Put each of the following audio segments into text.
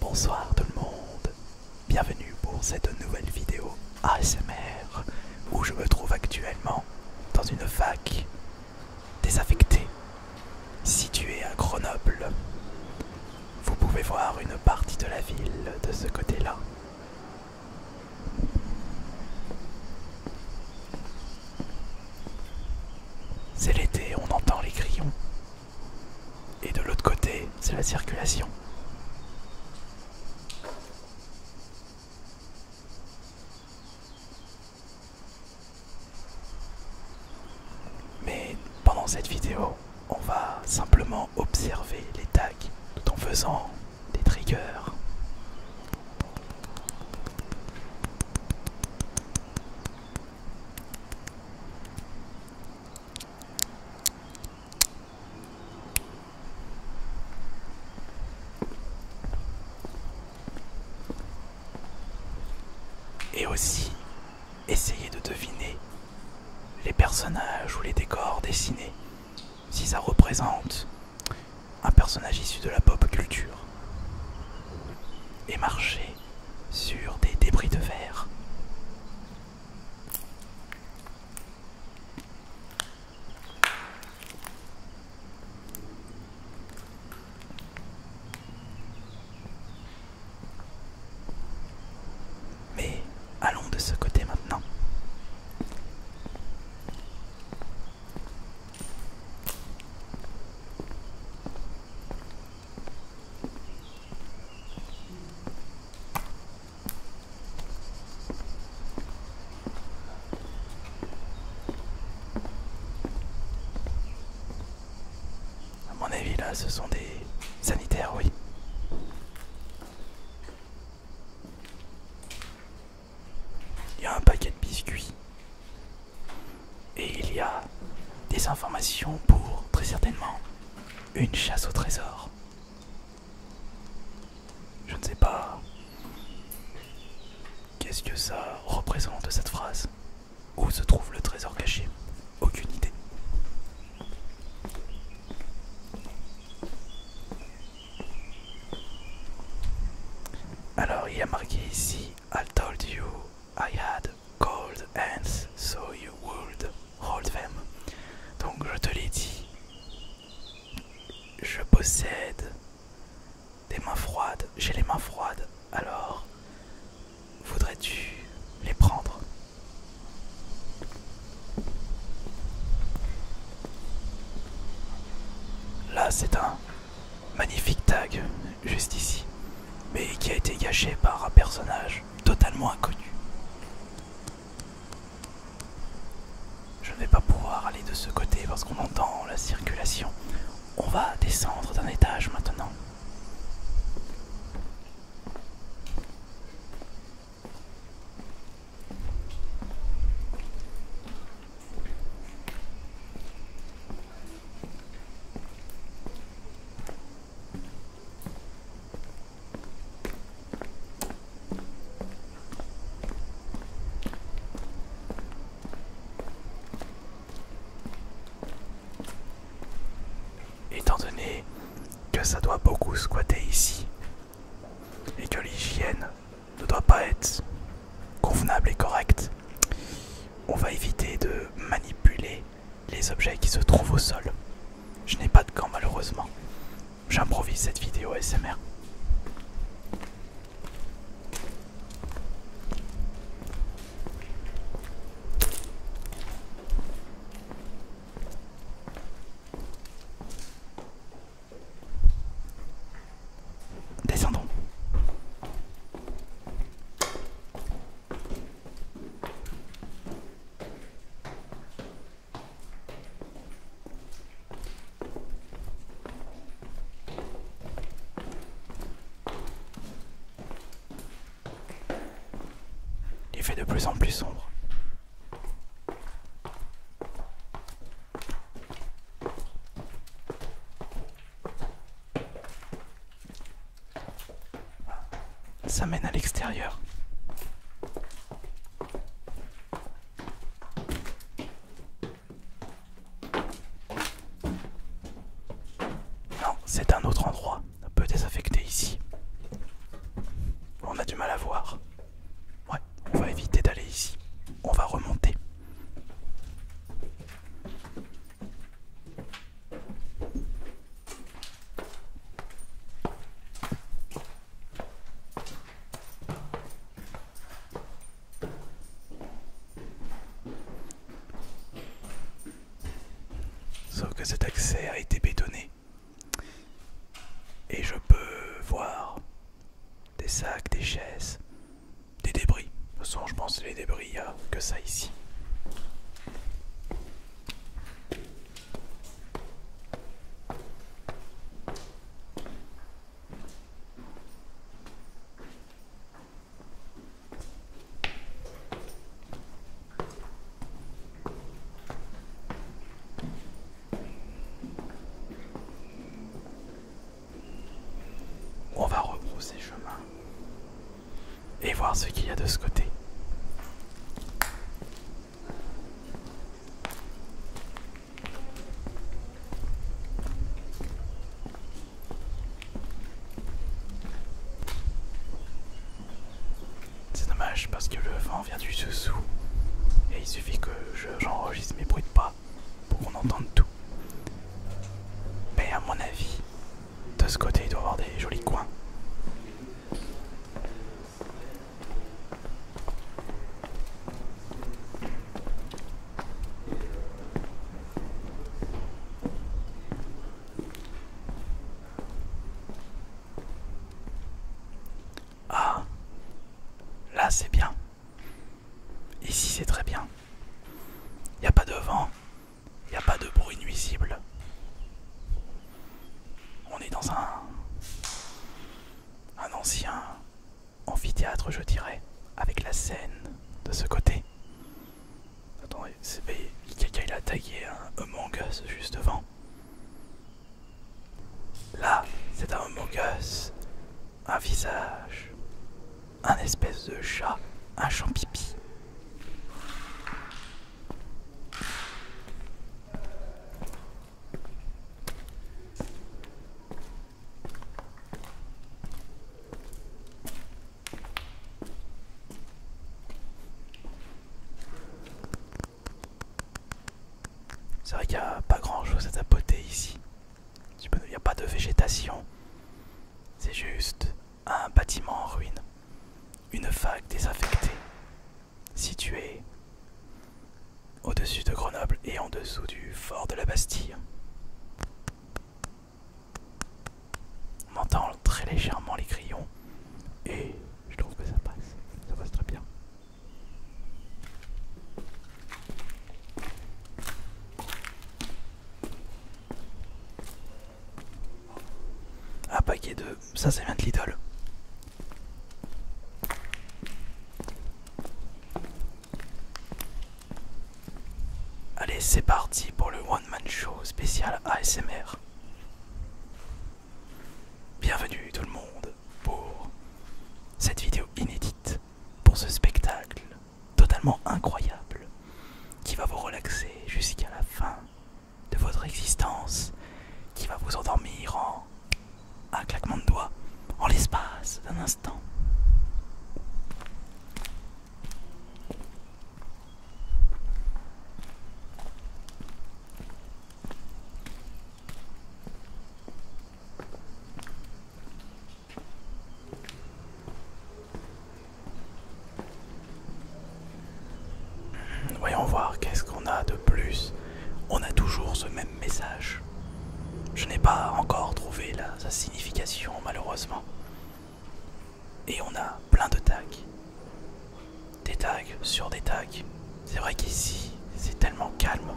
Bonsoir tout le monde, bienvenue pour cette nouvelle vidéo ASMR où je me trouve actuellement dans une fac désaffectée située à Grenoble. Vous pouvez voir une partie de la ville de ce côté-là. C'est l'été, on entend les grillons et de l'autre côté, c'est la circulation. Mais pendant cette vidéo, on va simplement observer les tags tout en faisant des triggers. Et aussi, essayer de deviner les personnages ou les décors dessinés, si ça représente un personnage issu de la pop culture. Et marcher sur des débris de verre. Mais allons de ce côté maintenant. À mon avis, là, ce sont des sanitaires, oui. Il y a un paquet de biscuits. Et il y a des informations pour, très certainement, une chasse au trésor. Je ne sais pas. Qu'est-ce que ça représente cette phrase Où se trouve le trésor caché Aucune idée. Alors il y a marqué ici I told you I had cold hands so you would hold them. Donc je te l'ai dit, je possède des mains froides, j'ai les mains froides, alors voudrais-tu les prendre Là c'est un magnifique tag juste ici, mais qui a été gâché par un personnage totalement inconnu. Je ne vais pas pouvoir aller de ce côté parce qu'on entend la circulation. On va descendre d'un étage maintenant. Étant donné que ça doit beaucoup squatter ici et que l'hygiène ne doit pas être convenable et correcte, on va éviter de manipuler les objets qui se trouvent au sol. Je n'ai pas de gants malheureusement. J'improvise cette vidéo SMR. Descendons. Il fait de plus en plus sombre. Ça mène à l'extérieur. Non, c'est un autre endroit. Un peu désaffecté ici. On a du mal à voir. Ouais, on va éviter d'aller ici. On va remonter. Sauf que cet accès a été bétonné. Et je peux voir des sacs, des chaises, des débris. De toute façon, je pense que les débris, il n'y a que ça ici. On va repousser chemin et voir ce qu'il y a de ce côté. C'est dommage parce que le vent vient du sous-sous. et il suffit que j'enregistre mes bruits de pas pour qu'on entende tout. Mais à mon avis, de ce côté il doit y avoir des jolis coins. Ah, là c'est bien. Ici c'est très bien. Il n'y a pas de vent, il n'y a pas de bruit nuisible. On est dans un. un ancien amphithéâtre, je dirais, avec la scène de ce côté. Attendez, c'est. Quelqu'un il a taillé un Among juste devant. Là, c'est un Among un visage, un espèce de chat, un champipi. C'est vrai qu'il n'y a pas grand chose à tapoter ici. Il n'y a pas de végétation. C'est juste un bâtiment en ruine, une fac désaffectée, située au-dessus de Grenoble et en dessous du fort de la Bastille. On entend très légèrement les grillons et je trouve que ça passe, ça passe très bien. Un paquet de... Ça, c'est bien de l'idole. Allez, c'est parti pour le One Man Show spécial ASMR. Bienvenue tout le monde pour cette vidéo inédite, pour ce spectacle totalement incroyable qui va vous relaxer jusqu'à la fin de votre existence qui va vous endormir en un claquement de doigts, en l'espace d'un instant. Voyons voir qu'est-ce qu'on a de plus. On a toujours ce même message. Je n'ai pas encore trouvé la, sa signification malheureusement. Et on a plein de tags. Des tags sur des tags. C'est vrai qu'ici, c'est tellement calme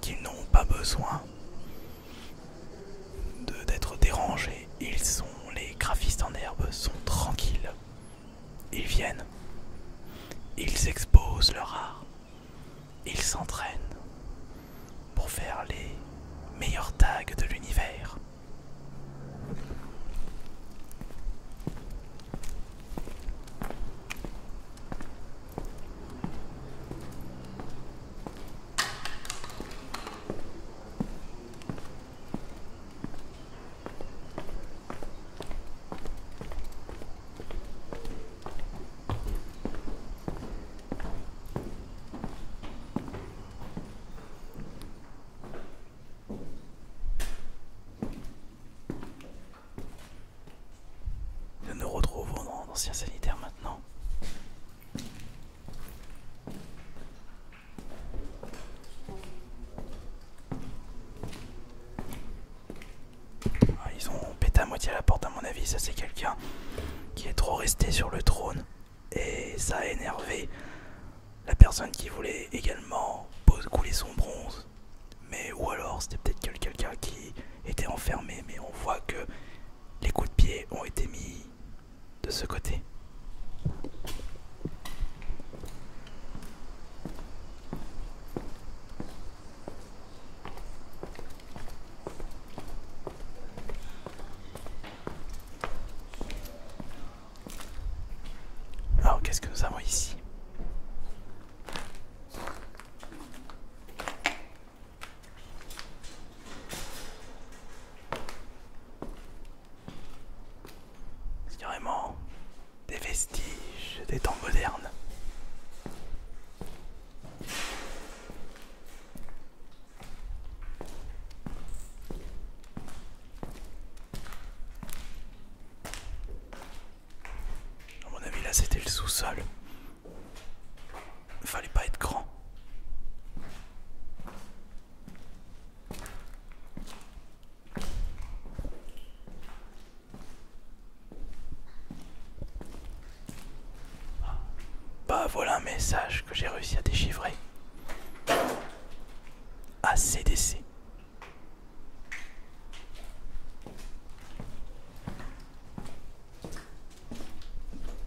qu'ils n'ont pas besoin d'être dérangés ils sont les graphistes en herbe sont tranquilles. Ils viennent. Ils exposent leur art. Ils s'entraînent pour faire les meilleurs tags de l'univers. Nous nous retrouvons dans l'ancien sanitaire maintenant. Ah, ils ont pété à moitié la porte à mon avis, ça c'est quelqu'un qui est trop resté sur le trône et ça a énervé la personne qui voulait également couler son bronze. Mais ou alors c'était peut-être quelqu'un qui était enfermé mais on voit que les coups de pied ont été mis de ce côté. Alors qu'est-ce que nous avons ici c'est vraiment des vestiges des temps modernes. À mon avis, là c'était le sous-sol. Il Fallait pas être grand. Bah voilà un message que j'ai réussi à déchiffrer. CDC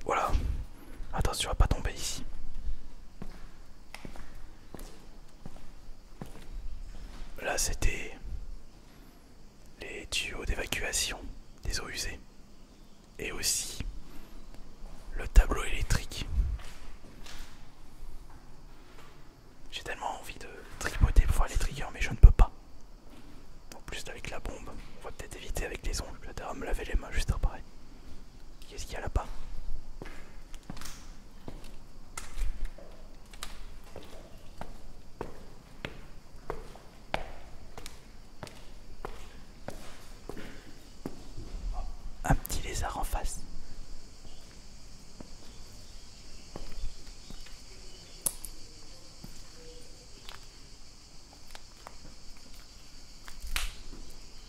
Voilà. Attention à pas tomber ici. Là, c'était les tuyaux d'évacuation des eaux usées et aussi le tableau électrique. J'ai tellement envie de tripoter pour voir les triggers, mais je ne peux pas. En plus, avec la bombe, on va peut-être éviter avec les ongles. Je vais me laver les mains juste après. Qu'est-ce qu'il y a là-bas oh, Un petit lézard en face.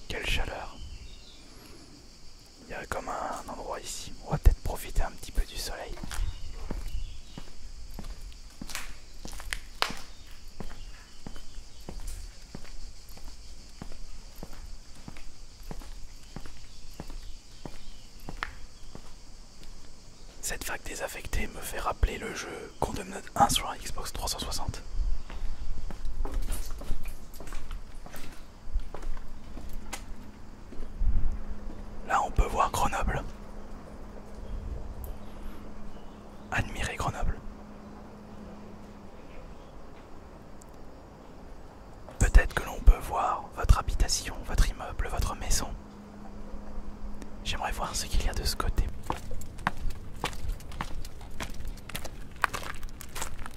Quelle chaleur il y a comme un endroit ici. On va peut-être profiter un petit peu du soleil. Cette vague désaffectée me fait rappeler le jeu Condemned 1 sur un Xbox 360. Là, on peut voir Grenoble. Admirez Grenoble. Peut-être que l'on peut voir votre habitation, votre immeuble, votre maison. J'aimerais voir ce qu'il y a de ce côté.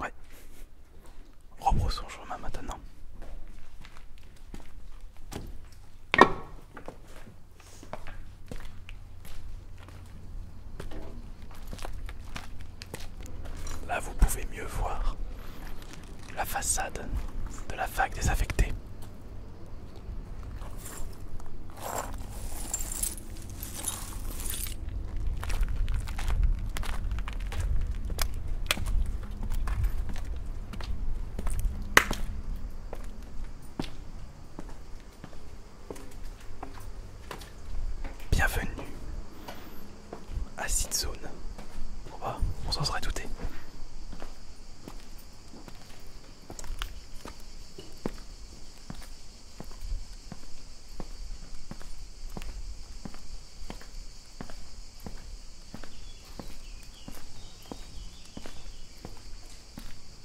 Ouais. son chemin maintenant. Là, vous pouvez mieux voir la façade de la fac désaffectée. Bienvenue à Zone. Oh, bah, on s'en serait douté.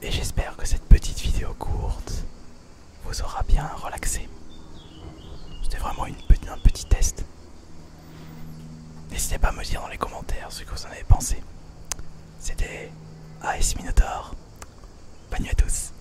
Et j'espère que cette petite vidéo courte vous aura bien relaxé. C'était vraiment une, un petit test. N'hésitez pas à me dire dans les commentaires ce que vous en avez pensé. C'était AS Minotaur. Bonne nuit à tous.